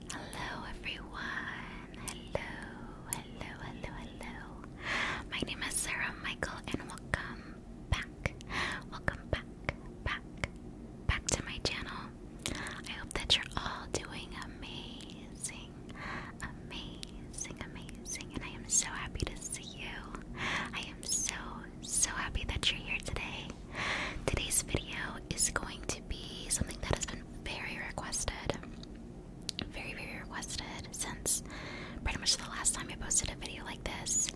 Hello everyone. Hello, hello, hello, hello. My name is Sarah Michael and welcome back. Welcome back, back, back to my channel. I hope that you're all doing amazing, amazing, amazing. And I am so happy to see you. I am so, so happy that you're here today. Today's video is going to be something that has been very requested. Very, very requested since pretty much the last time I posted a video like this.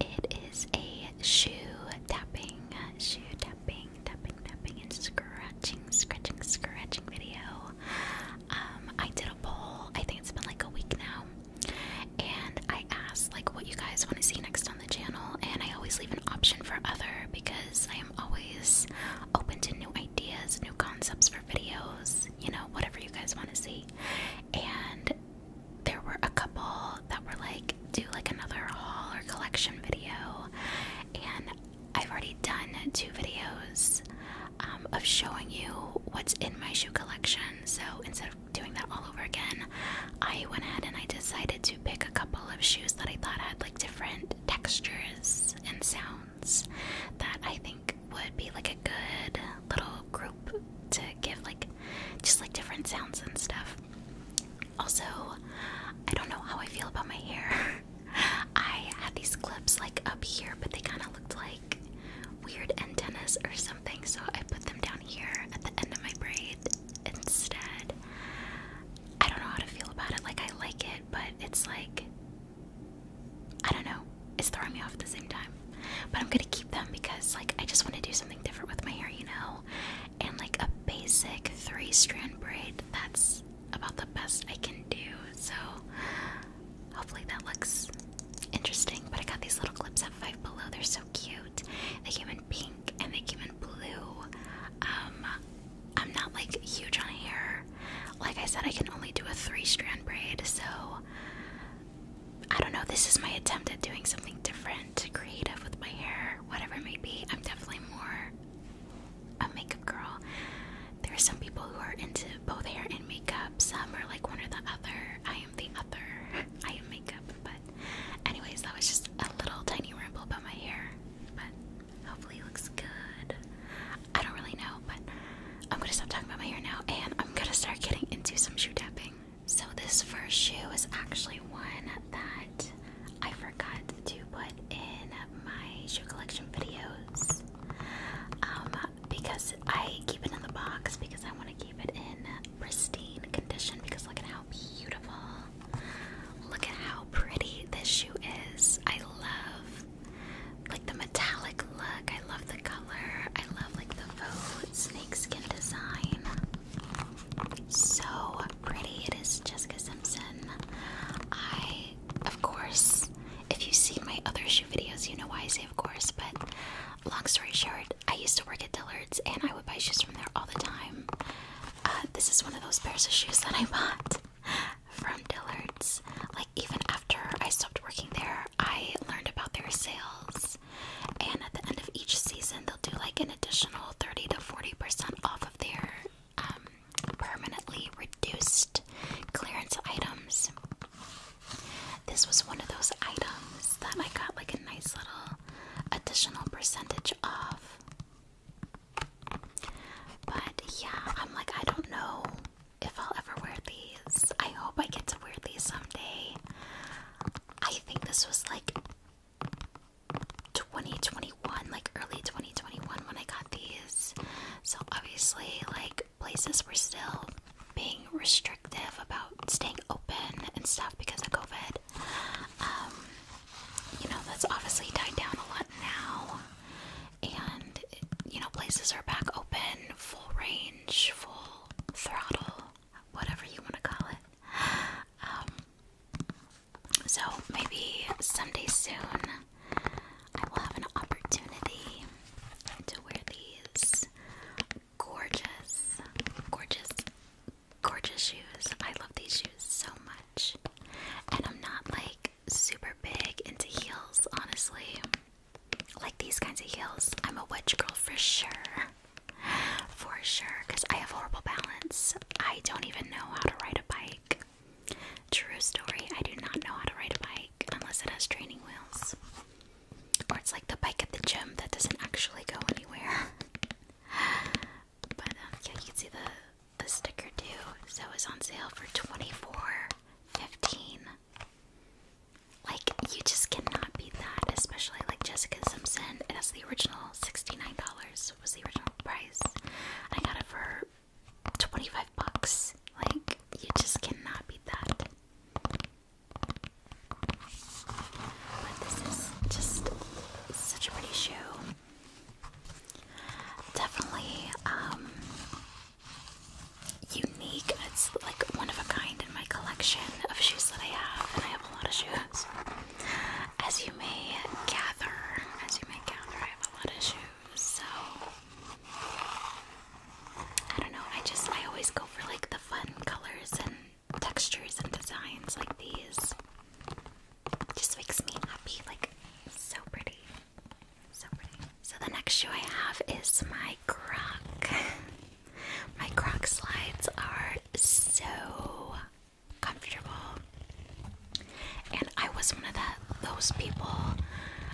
It is a shoe tapping, shoe tapping, tapping, tapping, and scratching, scratching, scratching video. Um, I did a poll, I think it's been like a week now, and I asked like what you guys want to see next time the channel, and I always leave an option for other because I am always open to new ideas, new concepts for videos, you know, whatever you guys want to see. And there were a couple that were like, do like another haul or collection video, and I've already done two videos um, of showing you what's in my shoe collection. So instead of doing that all over again, I went ahead and I decided to pick a couple of shoes that I thought had like different textures and sounds that I think would be like a good little group to give like just like different sounds and stuff. Also, I don't know how I feel about my hair. I had these clips like up here, but they kind of looked like weird antennas or something, so I put them down here at the end of my braid instead. I don't know how to feel about it. Like, I like it, but it's like, I don't know. It's throwing me off at the same time. But I'm gonna keep them because, like, I just want to do something different with my hair, you know? And, like, a basic three strand braid, that's about the best I can do. So, hopefully, that looks interesting. But I got these little clips of Five Below. They're so cute. The human pink and they came in blue. Um, I'm not like huge on hair. Like I said, I can only do a three strand braid, so I don't know. This is my attempt at doing something different, creative with my hair, whatever it may be. I'm definitely more a makeup girl. There are some people who are into both hair and makeup, some are like one or the other. I am the other. I am makeup, but anyways, that was just a little tiny ramble about my hair. But hopefully looks good. I don't really know, but I'm gonna stop talking about my hair now and I'm gonna start getting into some shoe tapping. So this first shoe is actually one that I forgot to put in my shoe collection videos. Um, because I keep it in the box because I want to keep it in pristine condition because look at how beautiful Look at how pretty this shoe is. I love like the metallic look. I love the color. I love like the faux snakeskin design. So pretty. It is Jessica Simpson. I of course if you see my other shoe videos, you know why I say of course, but long story short, I used to work at Dillard's and I would buy shoes from there all the time. Uh, this is one of those pairs of shoes that I bought from Dillard's. Like, even after I stopped working there, I learned about their sales. And at the end of each season, they'll do like an additional 30 to 40% off of their um, permanently reduced clearance items. This was one of those items that I got like a nice little additional percentage off. But yeah, I'm like, I don't know if I'll ever wear these. I hope I get to wear these someday. I think this was like 2021, like early 2021 when I got these. So obviously, like, places were still being restrictive about staying open and stuff because of COVID. Um, you know, that's obviously died down a lot now. And, you know, places are back open, full range, full throttle, whatever you want to call it. Um, so maybe someday soon I will have an opportunity to wear these gorgeous, gorgeous, gorgeous shoes. I love these shoes so much. And I'm not like super big into heels, honestly. Like these kinds of heels. I'm a wedge girl for sure. For sure, because I have horrible balance. I don't even know how to ride a bike. True story, I do not know how to ride a bike unless it has training wheels. Or it's like the bike at the gym that doesn't actually go anywhere. But um, yeah, you can see the, the sticker too. So it's on sale for twenty four fifteen. Like you just cannot beat that, especially like Jessica Simpson. It has the original sixty nine dollars was the original price. I got it for twenty five bucks. Like you just cannot beat that. But this is just such a pretty shoe. Definitely um, unique. It's like one of a kind in my collection of shoes that I have, and I have a lot of shoes. As you may gather, as you may gather, I have a lot of shoes. So I don't know. I just I always go for like the fun colors and textures and designs like these just makes me happy. Like, so pretty. So pretty. So, the next shoe I have is my croc. my croc slides are so comfortable. And I was one of the, those people.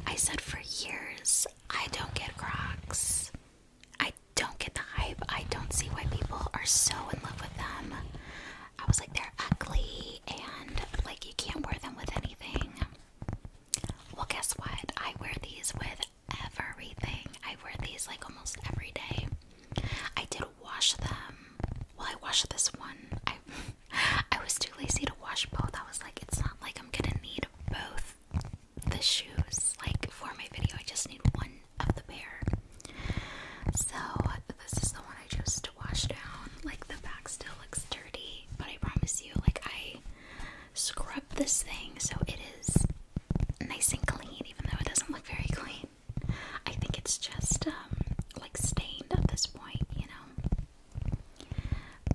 I said for years, I don't get crocs. I don't get the hype. I don't see why people are so in love with them. I was like, they're ugly and like you can't wear them with anything. Well, guess what? I wear these with everything. I wear these like almost every day. I did wash them. Well, I washed this one. I I was too lazy to wash both. I was like, it's not like I'm gonna need both the shoes. Like for my video, I just need one of the pair. So this is the one I chose to wash down. Like the back still looks dirty, but I promise you, like I scrub this thing so it is nice and clean, even though it doesn't look very clean. I think it's just um like stained at this point, you know.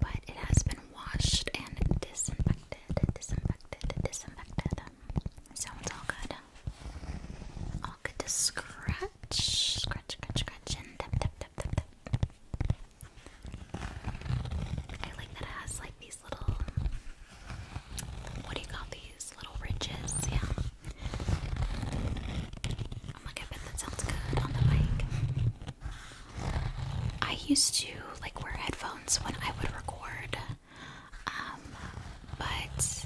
But it has been washed and disinfected, disinfected, disinfected good. Sounds all good. All good to scratch. Scratch, scratch, scratch, and tap, tap, tap, tap, tap. I like that it has like these little, what do you call these? Little ridges, yeah. I'm like, that sounds good on the mic. I used to like wear headphones when I would record um, but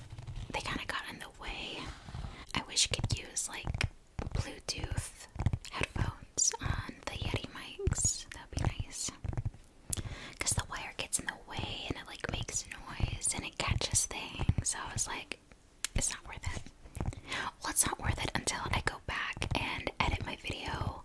they kind of got in the way. I wish you could use like Bluetooth headphones on the Yeti mics, that would be nice. Because the wire gets in the way and it like makes noise and it catches things, so I was like, it's not worth it. Well, it's not worth it until I go back and edit my video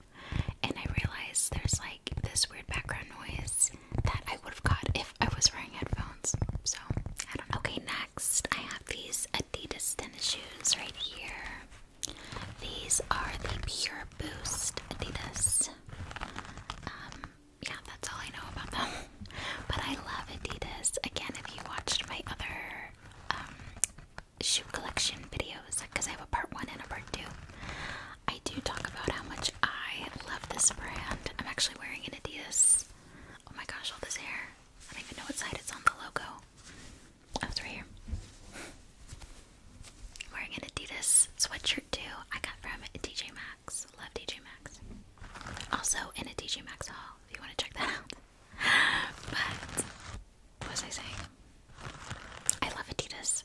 and I realized there's like this weird background noise that I would have got if I was wearing headphones. So I don't know. Okay, next I have these Adidas tennis shoes right here. These are the Pure Boost Adidas. Um, yeah, that's all I know about them. But I love Adidas. Again, if you watched my other um, shoe collection videos because I have a part one and a part two. I do talk about how much I love this brand. I'm actually wearing an Adidas. Oh my gosh, all this hair. I don't even know what side it's on the logo. That's oh, right here. wearing an Adidas sweatshirt too. I got from DJ Maxx. Love DJ Maxx. Also in a DJ Maxx haul if you want to check that out. but what was I saying? I love Adidas,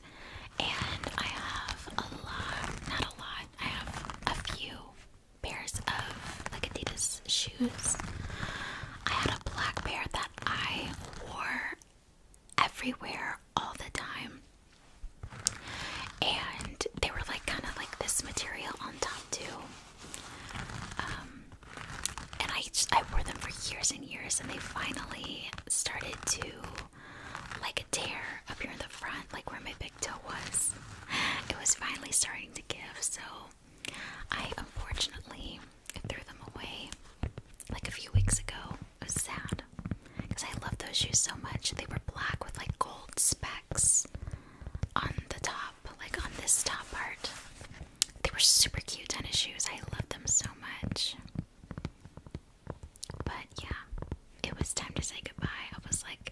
and I have a lot—not a lot. I have a few pairs of like Adidas shoes. I had a black pair that I wore everywhere all the time. And they were like kind of like this material on top too. Um, and I I wore them for years and years, and they finally started to like tear up here in the front, like where my big toe was. It was finally starting to give, so I unfortunately threw them away like a few weeks ago. It was sad because I love those shoes so much. They were black with like gold specks on the top, like on this top part. They were super cute tennis shoes. I love them so much. But yeah, it was time to say goodbye. I was like,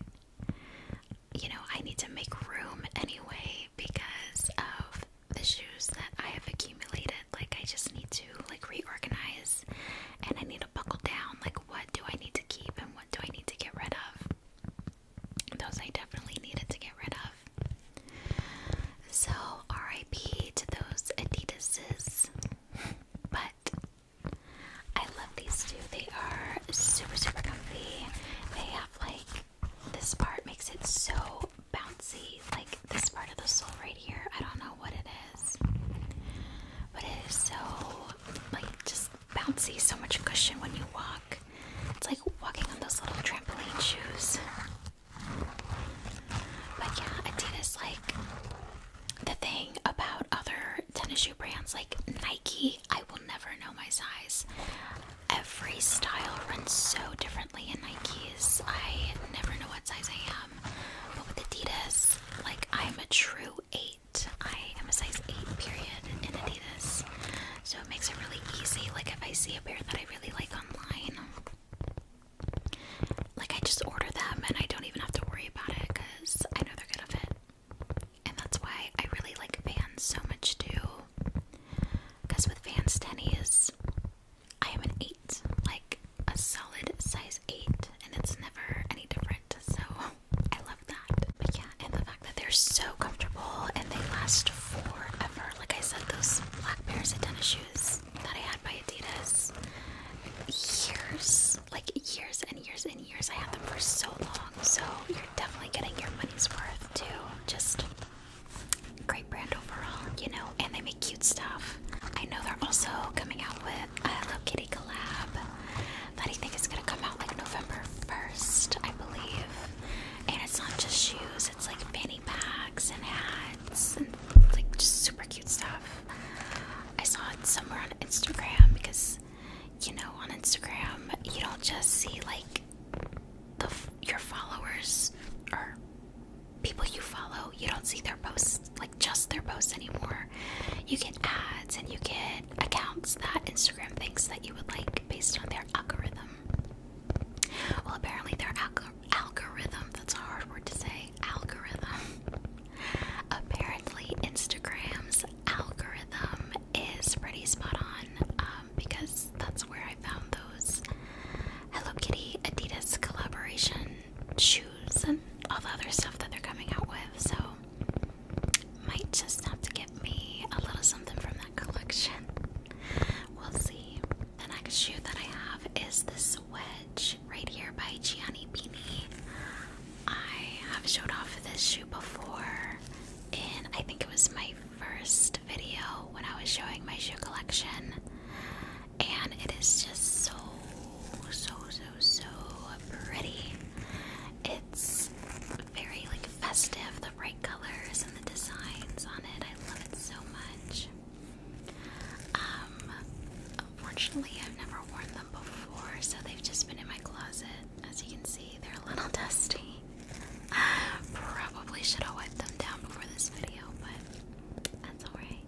you know, I need to make room anyway because of the shoes that I have accumulated. Like, I just need to like reorganize and I need to buckle down. Like, what do I need to keep and what do I need to get rid of? Those I definitely needed to get rid of. So, RIP to those Adidas's. But I love these two. They are super, super comfy. They have like this part makes it so bouncy. Like this part of the sole right here. I don't know what it is. But it is so like just bouncy, so much cushion when you walk. It's like walking on those little trampoline shoes. But yeah, Adidas like the thing about other tennis shoe brands like Nike, I will never know my size. Every style runs so differently in Nikes. I never know what size I am. But with Adidas, like I'm a true eight. I am a size eight period in Adidas. So it makes it really easy. Like if I see a pair that I really like online, like I just order them and I don't even have to worry about it because I know they're gonna fit. And that's why I really like Vans so much too. Because with Vans tennies, I am an eight, like a solid size eight, and it's never any different. So I love that. yeah, and the fact that they're so comfortable and they last forever like I said, those black pairs of tennis shoes that I had by Adidas years, like years and years and years. I had them for so long, so you're definitely getting your money's worth too. Just great brand overall, you know, and they make cute stuff. I know they're also coming out with a Hello Kitty collab that I think is gonna come out like November 1st, I believe. And it's not just shoes, it's like fanny packs and hats and like just super cute stuff. I saw it somewhere on Instagram because you know on Instagram you don't just see like the your followers or people you follow. You don't see their posts like just their posts anymore. You get ads and you get accounts that Instagram thinks that you would like based on their algorithm. Well, apparently their alg algorithm, that's a hard word to say, algorithm. apparently Instagram's algorithm is pretty spot on um, because that's where I found those Hello Kitty Adidas collaboration shoes and all the other stuff that they're coming out with. So, might just have to get me a little something from collection. We'll see. The next shoe that I have is this wedge right here by Gianni Pini. I have showed off this shoe before, and I think it was my first video when I was showing my shoe collection. And it is just so, so, so, so pretty. It's very like festive, the bright colors and the designs on it. I love it so much. Um, unfortunately, I've never worn them before, so they've just been in my closet. As you can see, they're a little dusty. probably should have wiped them down before this video, but that's alright.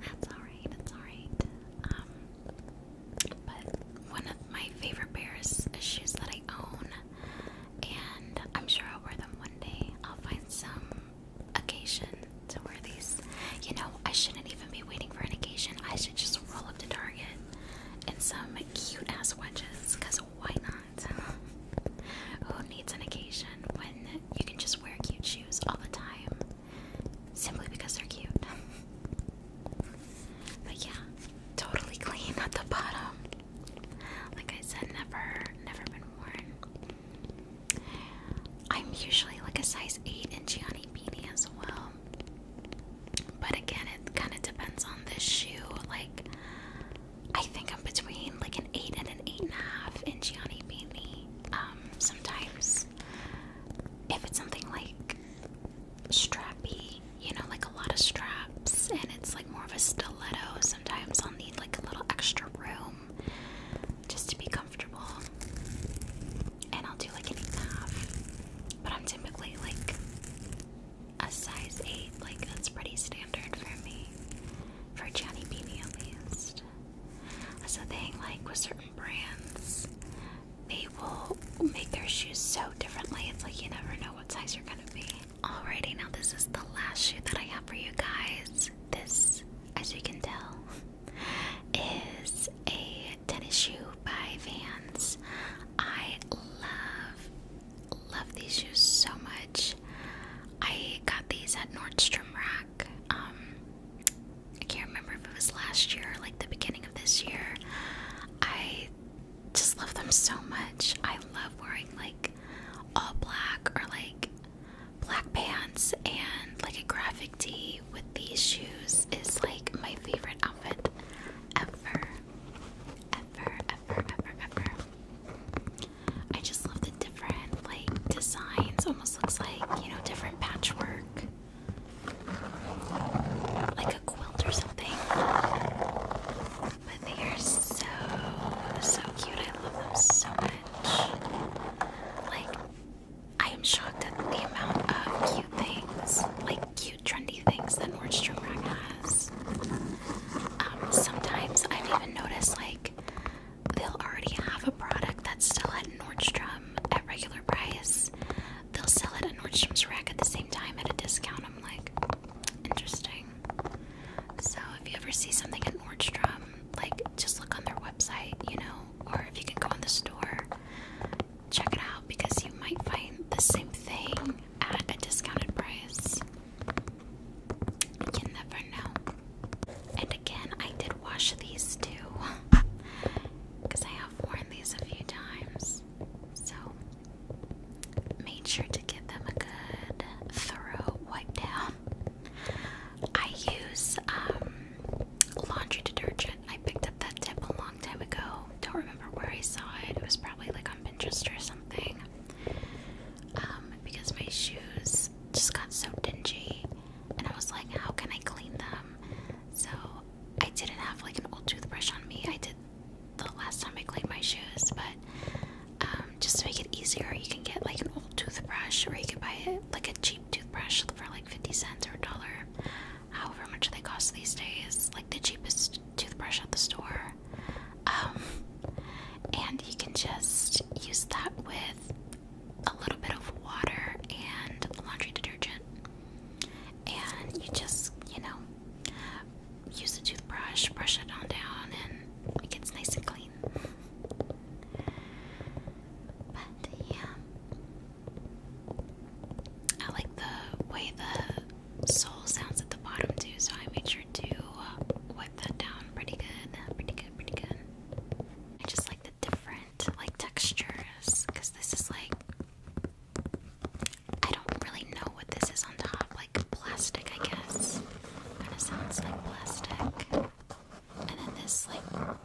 That's alright, that's alright. Um, but one of my favorite pairs of shoes that I own and I'm sure I'll wear them one day. I'll find some occasion to wear these. You know, I shouldn't even be waiting for an occasion. I should just roll up to Target in some cute ass wedges, because why not? Who needs an occasion when you can just wear cute shoes all the time simply because they're cute? But yeah, totally clean at the bottom. Like I said, never, never been worn. I'm usually like a size 8 in Gianni beanie as well. But again, it kind of depends on the shoe. Like, I think I'm between like an 8 and an 8.5 in Gianni beanie. Um, sometimes, if it's something like strappy, you know, like a lot of straps, and it's like more of a stiletto. Sometimes I'll need like a little extra room just to be comfortable, and I'll do like an eight and a half. But I'm typically like a size eight, like that's pretty standard for me, for Johnny Beanie at least. That's the thing, like with certain brands, they will make their shoes so differently. It's like you never know what size you're gonna be. Alrighty, now this is the last shoe that I have for you guys. This, as you can tell, is a tennis shoe by Vans. I love, love these shoes so much. I got these at Nordstrom Rack. Um, I can't remember if it was last year or like the beginning of this year. I just love them so much. I love wearing like all black or like black pants and like a graphic tee with these shoes is like my favorite outfit ever. Ever, ever, ever, ever. I just love the different like designs. Almost looks like, you know, different patchwork like a quilt or something. But they are so so cute. I love them so much. Like I am shocked at the amount of cute things, like cute trendy things that Orange Rag has. Um, sometimes I've even noticed like they'll already have a product that's still at Nordstrom at regular price, they'll sell it at Nordstrom's Rack at the same time at a discount. I'm like, interesting. So if you ever see something at Nordstrom, like just look on their website, you know, or if you can go in the store, check it out because you might find the same thing at a discounted price. You never know. And again, I did wash these too because I have worn these a few times. So made sure to give them a good thorough wipe down. I use um, laundry detergent. I picked up that tip a long time ago. Don't remember where I saw it. It was probably like on Pinterest or something. Um, because my shoes just got so dingy, and I was like, how can I clean them? So I didn't have like an old toothbrush on me. I did the last time I cleaned my shoes, but um, just to make it easier, you can get like an old toothbrush, or you can buy it like a cheap toothbrush for like fifty cents or a dollar, however much they cost these days. Like the cheapest toothbrush at the store, um, and you can just use that with a little bit of water and laundry detergent and you just, you know, use the toothbrush, brush it on down, and it gets nice and clean. But yeah, I like the way the sole sounds at the bottom too, so I made sure to uh, wipe that down pretty good, pretty good, pretty good. I just like the different like textures because this is like I don't really know what this is on top, like plastic, I guess. Kind of sounds like plastic. And then this, like,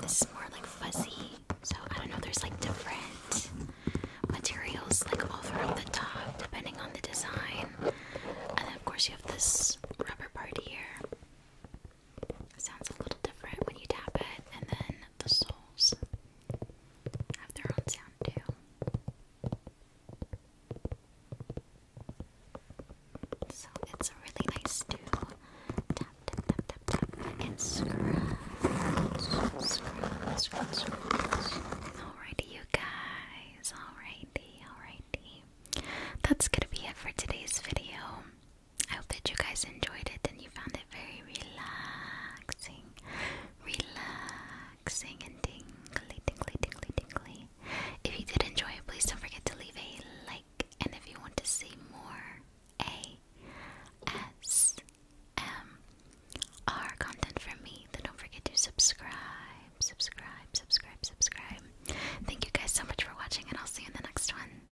this is more like fuzzy. So I don't know, there's like different materials like all throughout the top, depending on the design. And of course, you have this rubber part here sounds a little different when you tap it, and then the soles have their own sound too. So it's really nice to Alrighty, you guys. Alrighty, alrighty. That's gonna be it for today's video. I hope that you guys enjoyed it and you found it very relaxing. Relaxing and tingly, tingly, tingly, tingly. If you did enjoy it, please don't forget to leave a like. And if you want to see more ASMR content from me, then don't forget to subscribe, subscribe, subscribe, subscribe. Thank you guys so much for watching, and I'll see you in the next one.